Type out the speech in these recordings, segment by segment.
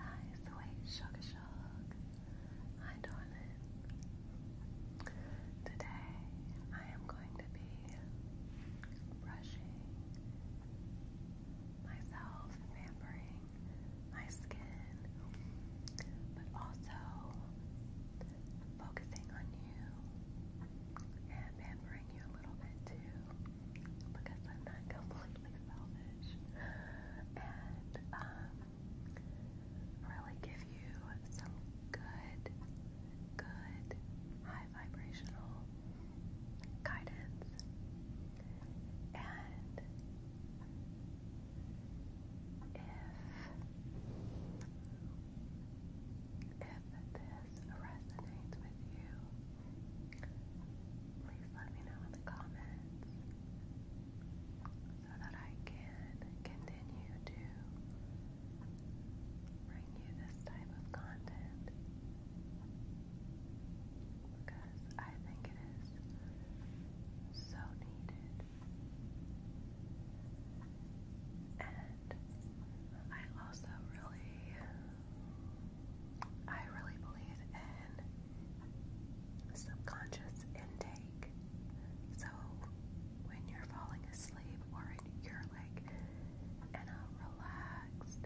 Hi, sweet sugar shark. Hi, darling. Today I am going to be brushing myself pampering my skin, but also focusing on you and pampering you a little bit too because I'm not complete like velvet and um, really give you some good, good high vibrational guidance and if if this resonates with you please let me know in the comments so that I can continue to bring you this type of content because I think it is so needed. And I also really I really believe in subconscious intake. So when you're falling asleep or you're like in a relaxed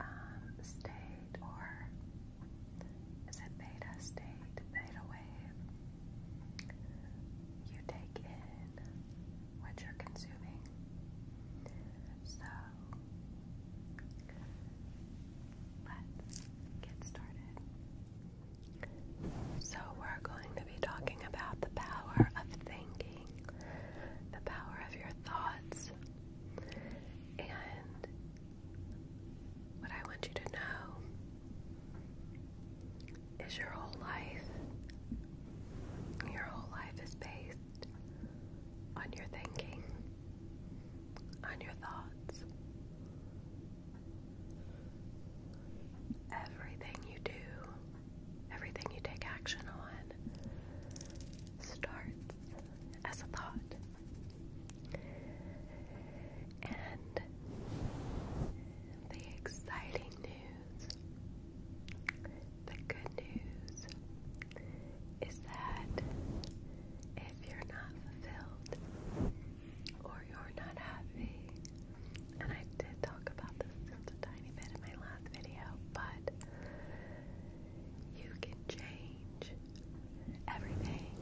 um, state or is it beta state, beta wave, you take in what you're consuming so let's get started. So, we're going to be talking about the power of thinking, the power of your thoughts, and what I want you to know is your whole life your whole life is based on your thinking, on your thoughts. Everything you do, everything you take action on, starts as a thought. And the exciting news the good news is that if you're not fulfilled or you're not happy, and I did talk about this just a tiny bit in my last video, but you can change everything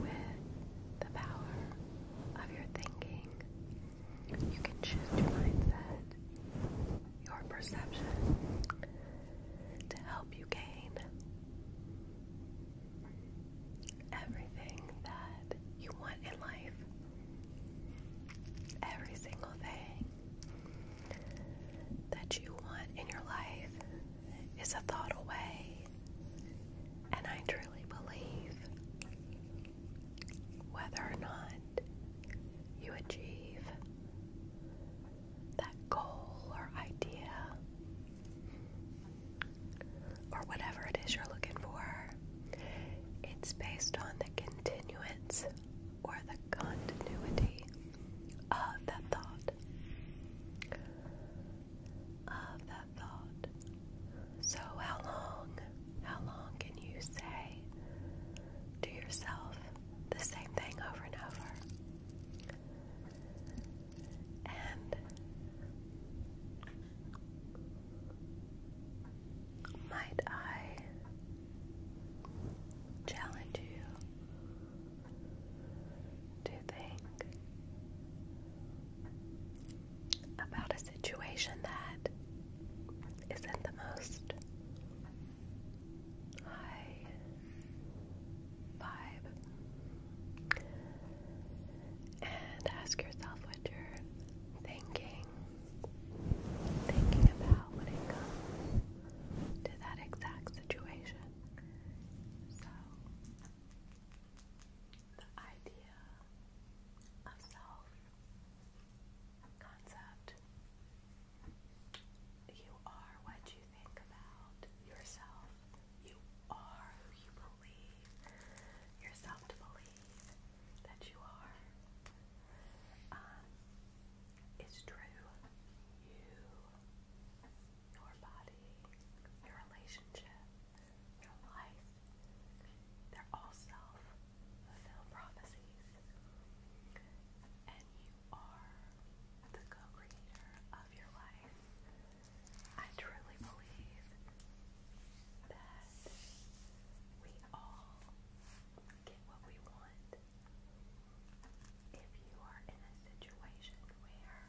with the power of your thinking you can choose your mindset, your perception to help you gain everything that you want in life. Every single thing that you want in your life is a thought away. And I truly believe whether or not you achieve that goal or idea or whatever it is you're looking for, it's based on the continuance or the continuity of that thought, of thought. So, how long, how long can you say to yourself the same thing over and over? And might I challenge you to think about a situation that isn't the most high vibe and ask yourself what you're thinking thinking about when it comes to that exact situation the idea of self concept. You are what you think about yourself. You are who you believe yourself to believe that you are. Um, it's true. You, your body, your relationship real life. They're all self fulfilled And you are the co creator of your life. I truly believe that we all get what we want. If you are in a situation where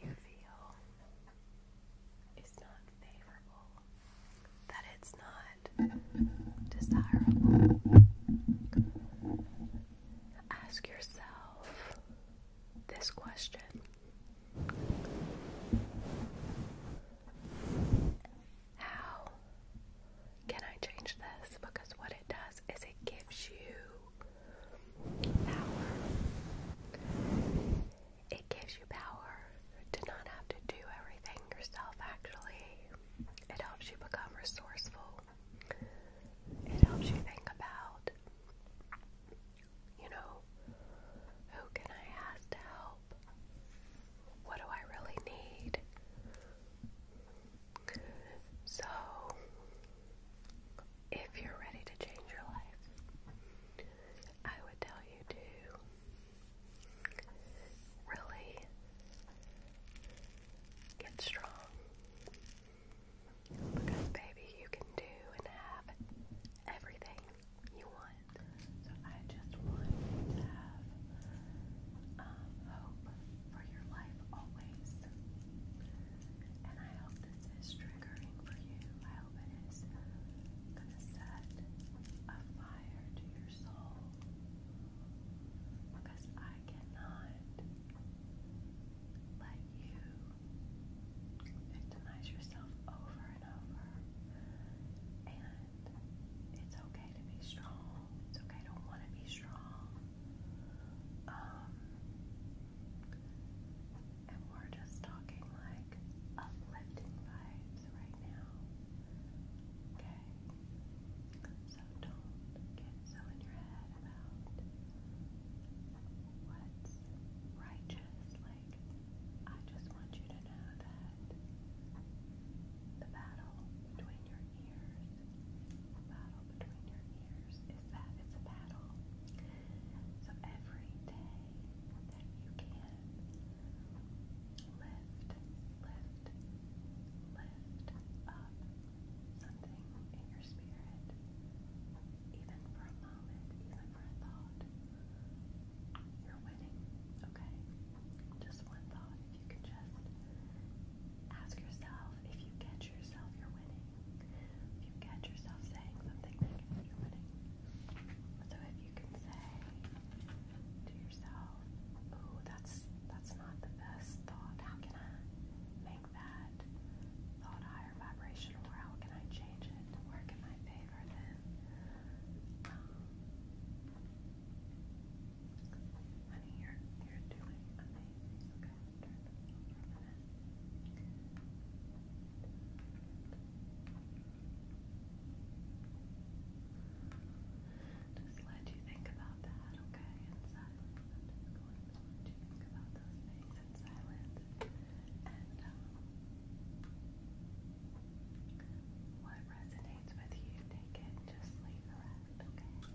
you feel is not favorable, that it's not desirable. Ask yourself this question. How can I change this? Because what it does is it gives you Power. It gives you power to not have to do everything yourself, actually. It helps you become resourceful. It helps you think about, you know, who can I ask to help? What do I really need? So, if you're ready to change your life, I would tell you to really get strong. Because, baby, you can do and have everything you want. So, I just want to have um, hope for your life always. And I hope this is triggering for you. I hope it is going to set a fire to your soul. Because I cannot let you victimize yourself over and over. And it's okay to be strong. It's okay to want to be strong. Um, and we're just talking like uplifting vibes right now. Okay? So don't get so in your head about what's righteous. Like, I just want you to know that the battle between your ears a battle between your ears is that it's a battle. So every day that you can, lift, lift, lift up something in your spirit, even for a moment, even for a thought. You're winning, okay? Just one thought. If you can just ask yourself if you catch yourself, you're winning. If you catch yourself saying something negative, you winning. So if you can say to yourself, "Oh, that's that's not the best thought. How can I make that thought higher vibrational? Or how can I change it? Where can I favor Then. Um, Honey, you Just let you think about that, okay? In just going to think about those things in silence. And um, what resonates with you, take it, just leave the rest, okay?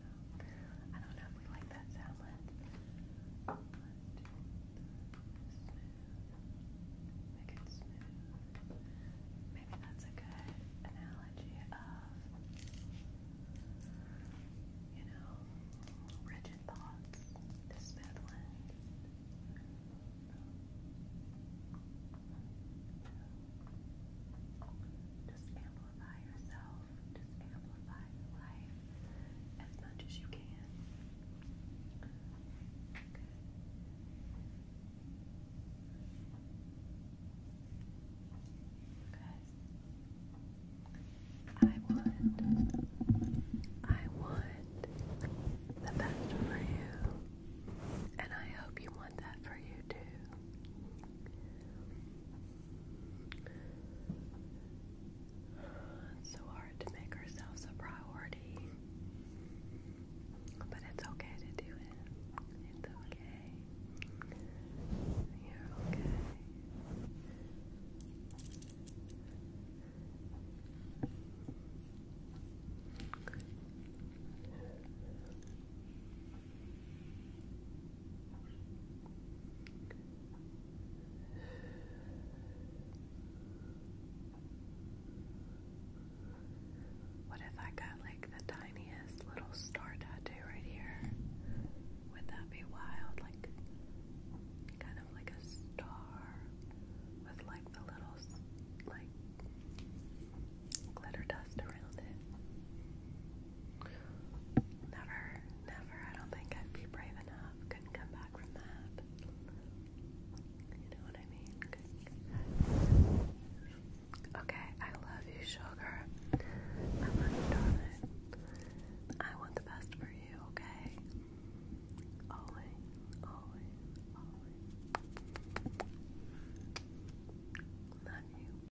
do I don't know if we like that sound. Make it smooth. Maybe that's a good analogy of, you know, rigid thoughts to smooth ones. Just amplify amplify yourself, just amplify your life as much as you can. Good. Because I want, I want the best for you, and I hope you want that for you too. It's so hard to make ourselves a priority, but it's okay to do it. It's okay. You're okay. What if I got like the tiniest little star tattoo right here? Would that be wild? Like kind of like a star with like the little like glitter dust around it. Never, never. I don't think I'd be brave enough. Couldn't come back from that. You know what I mean? Okay, I love you, sugar. I love you, darling. I want the best for you, okay? Always, always, always. Love you.